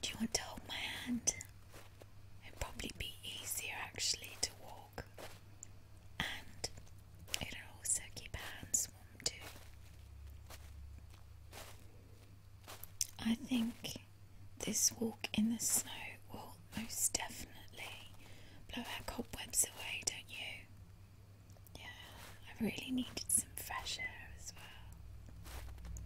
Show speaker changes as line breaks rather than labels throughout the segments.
Do you want to hold my hand? It'd probably be easier actually to walk, and it'll also keep our hands warm too. I think this walk in the snow will most definitely blow our cobwebs away, don't you? Yeah, I really needed some fresh air as well.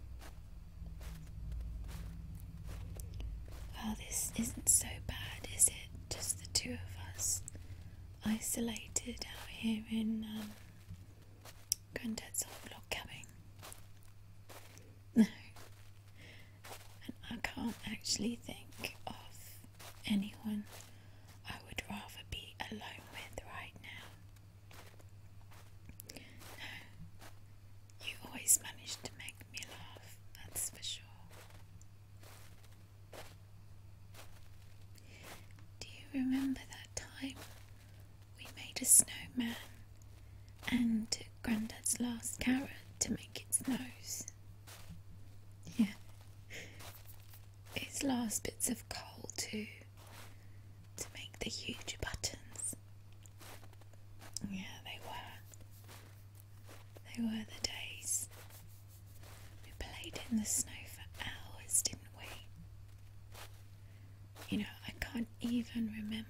Well, this isn't so bad, is it? Just the two of us isolated out here in um, Granddad's old log cabin. No, and I can't actually think of anyone I would rather be alone with right now. No, you always manage to make me laugh, that's for sure. Do you remember that time we made a snowman and took Grandad's last carrot to make its nose? Yeah, its last bits of coal too to make the huge buttons. Yeah, they were. They were the days. We played in the snow for hours, didn't we? You know, I can't even remember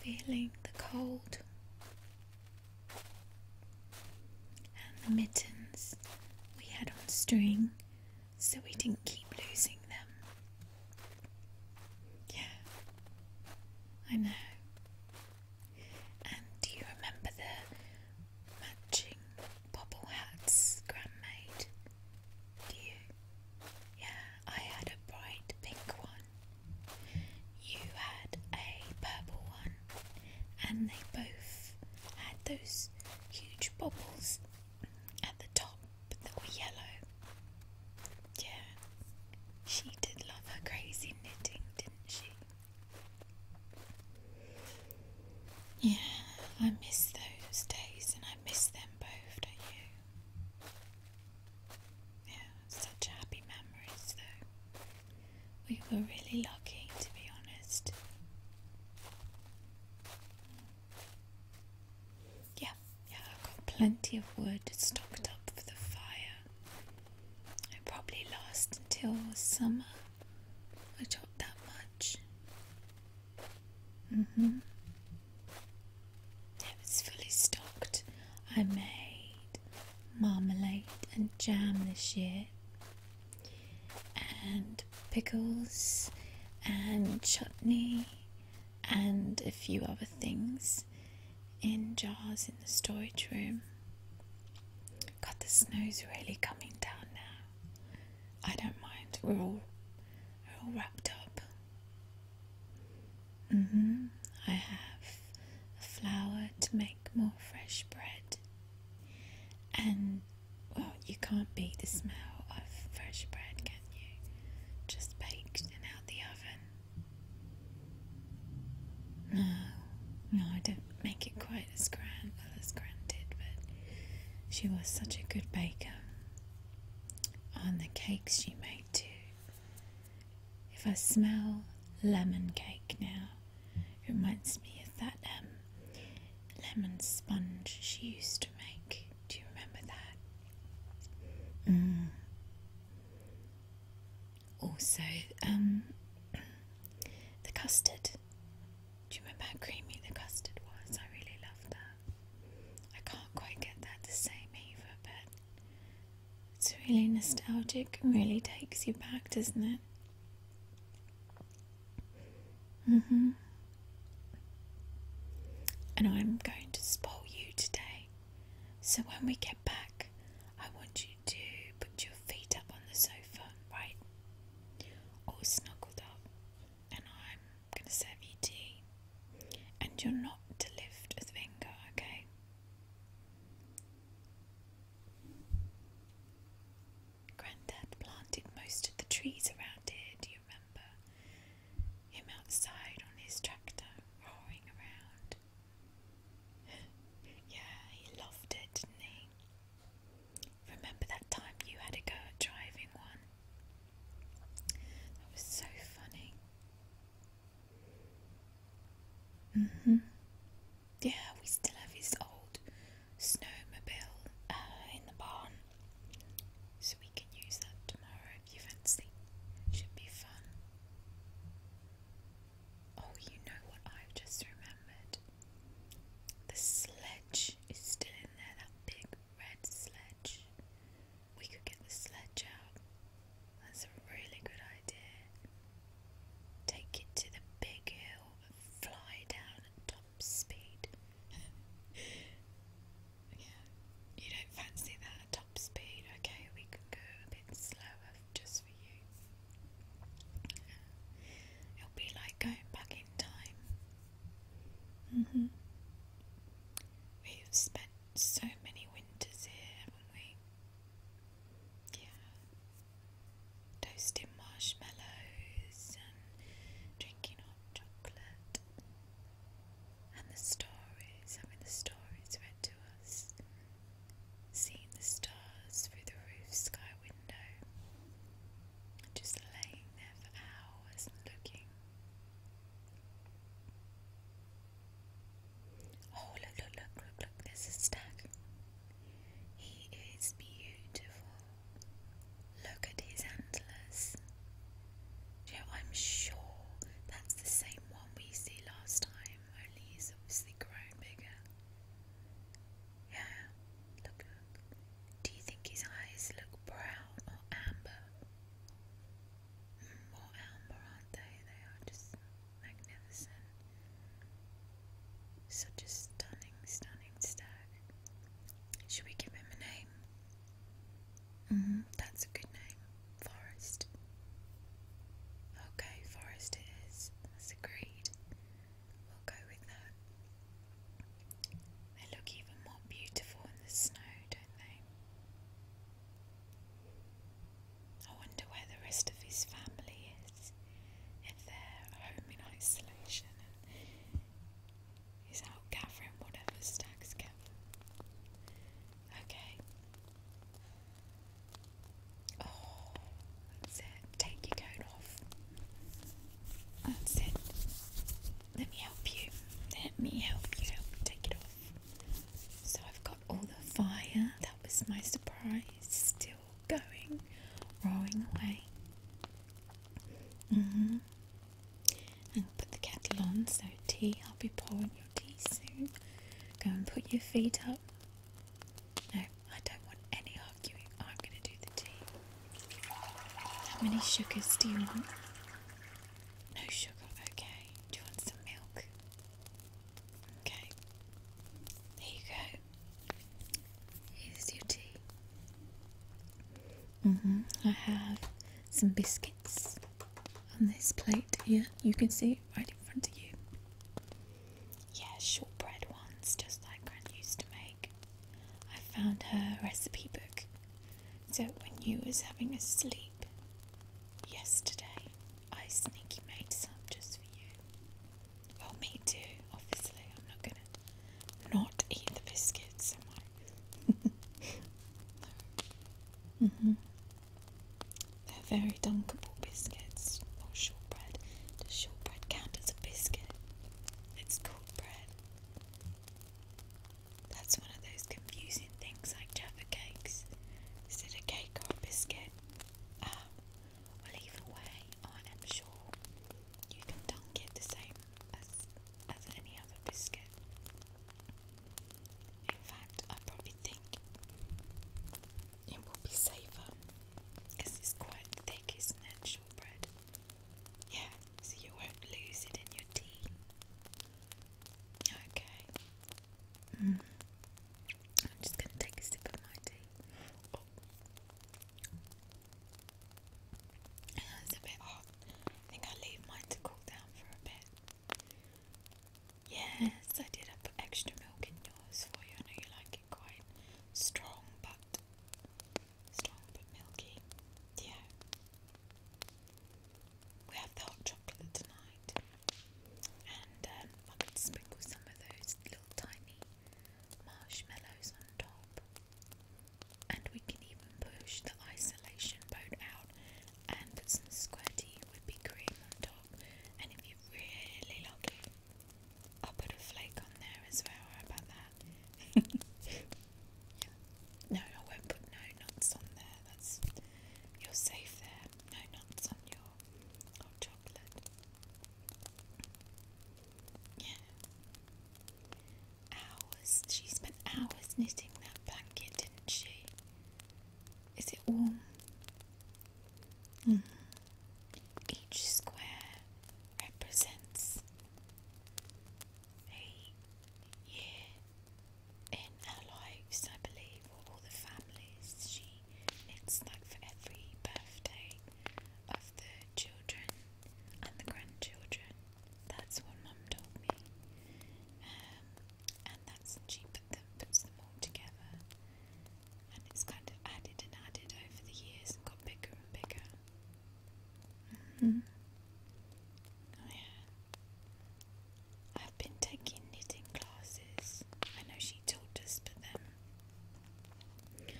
feeling the cold. And the mittens we had on string so we didn't keep losing them. Yeah, I know. And do you remember the matching bobble hats Gran made? Do you? Yeah, I had a bright pink one. You had a purple one and they both had those huge bubbles at the top that were yellow. Yeah, she did love her crazy knitting, didn't she? Yeah, I miss those days and I miss them both, don't you? Yeah, such happy memories though. We were really lucky, to be honest. Yeah, yeah, I've got plenty of wood stocked up for the fire. it probably last until summer. I got that much. Mm hmm. Yeah, was fully stocked. I made marmalade and jam this year and pickles and chutney and a few other things in jars in the storage room. God, the snow's really coming down now. I don't mind. We're all we're all wrapped up. Mm-hmm. I have a flour to make more fresh bread. And well, you can't beat the smell of fresh bread, can you? Just baked and out the oven. No, no, I don't make it quite as grand well as Grand did, but she was such a good baker. And the cakes she made too. If I smell lemon cake now, it reminds me of that um, lemon sponge she used to make. Do you remember that? Mm. Also, um, the custard. Do you remember how creamy the custard was? I really loved that. I can't quite get that the same either, but it's really nostalgic and really takes you back, doesn't it? hmm And I'm going to spoil you today. So when we get back, I want you to put your feet up on the sofa, right? All snuggled up. And I'm going to serve you tea. And you're not to lift a finger, okay? Granddad planted most of the trees around here, do you remember? Him outside on his tractor, roaring around. yeah, he loved it, didn't he? Remember that time you had a go at driving one? That was so funny. Mm hmm yeah, we still have his old snowmobile uh, in the barn, so we can use that tomorrow if you fancy. Should be fun. Oh, you know what I've just remembered? The sledge is still in there, that big red sledge. We could get the sledge out. That's a really good idea. Take it to the big hill fly down at top speed. yeah, you don't fancy that at top speed, okay? We can go a bit slower just for you. It'll be like going back in time. Mm-hmm. We've spent so many winters here, haven't we? yeah, toasting marshmallows and drinking hot chocolate, and the stories, i mean, the stories read to us, seeing the stars through the roof sky window, just laying there for hours and looking. Oh, look, look, look, look, look, This is stag. He is beautiful. Look at his antlers. Yeah, I'm sure that's the same one we see last time, only he's obviously grown bigger. Yeah, look, look. Do you think his eyes look brown or amber? Hmm, more amber, aren't they? They are just magnificent. Such a stunning, stunning stag. Should we give him a name? Mm-hmm, that's a good name. Forest. Okay, Forest it is. That's agreed. We'll go with that. They look even more beautiful in the snow, don't they? I wonder where the rest of his family is and they're home in isolation and he's out whatever stags gather. Okay. Oh, that's it. Take your coat off. That's it. Let me help you. Let me help you. take it off. So I've got all the fire. That was my surprise. Still going, rowing away. Mm put the kettle on, so tea, I'll be pouring your tea soon. Go and put your feet up. No, I don't want any arguing. I'm going to do the tea. How many sugars do you want? No sugar, okay. Do you want some milk? Okay. There you go. Here's your tea. Mm-hmm. I have some biscuits on this plate here. You can see right in front of you. Yeah, shortbread ones, just like Gran used to make. I found her recipe book. So when you was having a sleep yesterday, I sneaky made some just for you. Well, oh, me too, obviously. I'm not gonna not eat the biscuits, am no. hmm They're very dunkable biscuits, or shortbread. Does shortbread count as a biscuit? It's called bread. That's one of those confusing things like Jaffa cakes. Is it a cake or a biscuit? Ah, well, either I am sure you can dunk it the same as, as any other biscuit. In fact, I probably think it will be safer because it's quite thick, It's natural bread. Yeah, so you won't lose it in your tea. Okay. Mm. I'm just going to take a sip of my tea. It's a bit hot. I think i leave mine to cool down for a bit. Yes, I did. I put extra milk in yours for you. I know you like it quite strong, but strong but milky. Yeah. We have the hot chocolate tonight, and um, I could sprinkle some of those little tiny marshmallows on top. And we can even push the isolation boat out and put some squirty whippy cream on top. And if you're really lucky, I'll put a flake on there as well. How about that? yeah. No, I won't put no nuts on there. That's you're safe there. No nuts on your hot chocolate. Yeah. Hours. She spent hours knitting that blanket, didn't she? Is it warm? Mm. Each square represents a year in our lives, I believe, or all the families it's like for every birthday of the children and the grandchildren. That's what Mum told me. Um, and that's she puts them all together. And it's kind of added and added over the years and got bigger and bigger. Mm-hmm. Oh, yeah. I've been taking knitting classes. I know she she told us, but then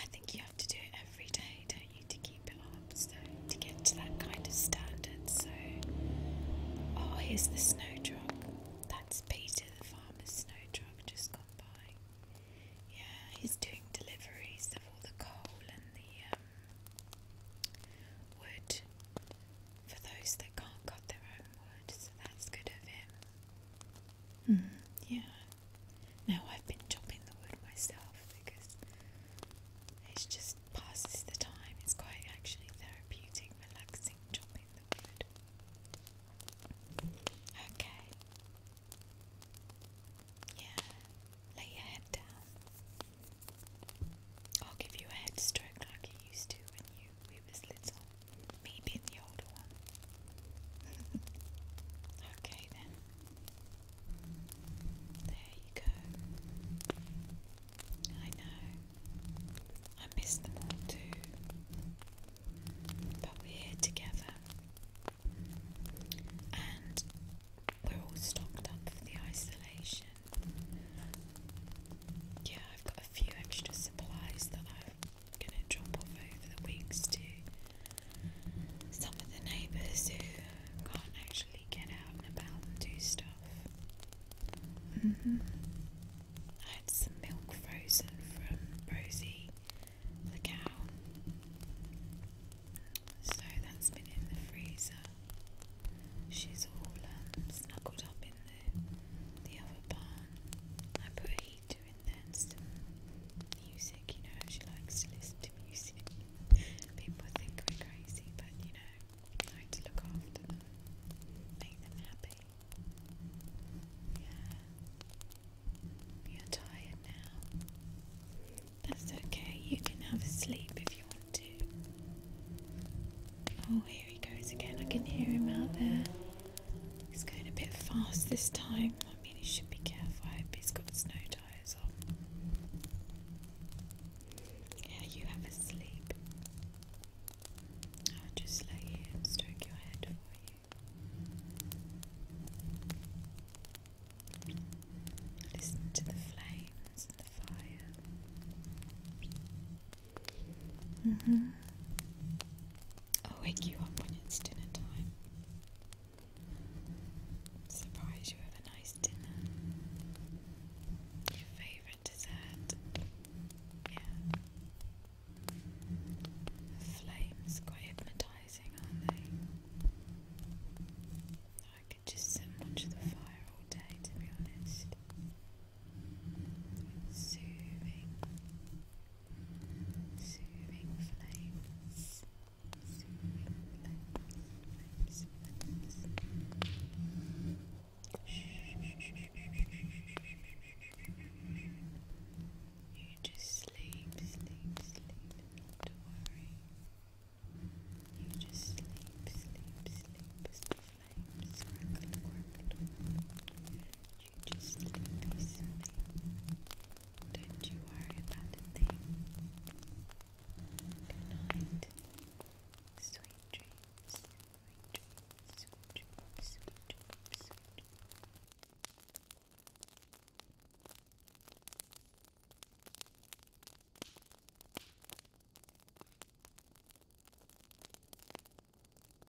I think you have to do it every day, don't you, to keep it up, so to get to that kind of standard. So, oh, here's the snow That's Peter, the farmer's snow just gone by. Yeah, he's doing deliveries of all the coal and the um, wood for those that can't cut their own wood, so that's good of him. Mm, yeah. Now I've been chopping the wood myself because it just passes the time. It's quite actually therapeutic, relaxing chopping the wood. Okay. Yeah. Lay your head down. I'll give you a head stroke like it used to when you we was little. Maybe the older one. okay then. There you go. I know. I miss them all too. But we're here together. And we're all stocked up for the isolation. Yeah, I've got a few extra supplies that I've going to drop off over the weeks to some of the neighbours who can't actually get out and about and do stuff. -hmm. I had some milk frozen from Rosie the cow, so that's been in the freezer. She's all um, snuggled up in the the other barn. I put a need to enhance music, you know, she likes to listen to music. People think we're crazy, but you know, like to look after them, make them happy. Yeah. You're tired now. That's okay, you can have a sleep if you want to. Oh, here he goes again. I can hear him out there. He's going a bit fast this time. I mean, he should be careful. I hope he's got snow tyres on. Yeah, you have a sleep. I'll just lay here and stroke your head for you. Listen to the flames and the fire. Mm-hmm. I'll wake you up when it's dinner time. Surprise you with a nice dinner. Your favourite dessert. Yeah. flames quite hypnotising, aren't they? I could just sit and the fire all day to be honest. soothing. Soothing flames, You just sleep, sleep, sleep, not to worry. You just sleep, sleep, sleep as flames crackle, crackle you just listen Don't you worry about a thing. Good Sweet dreams. Sweet dreams. Sweet dreams. Sweet dreams. Sweet dreams.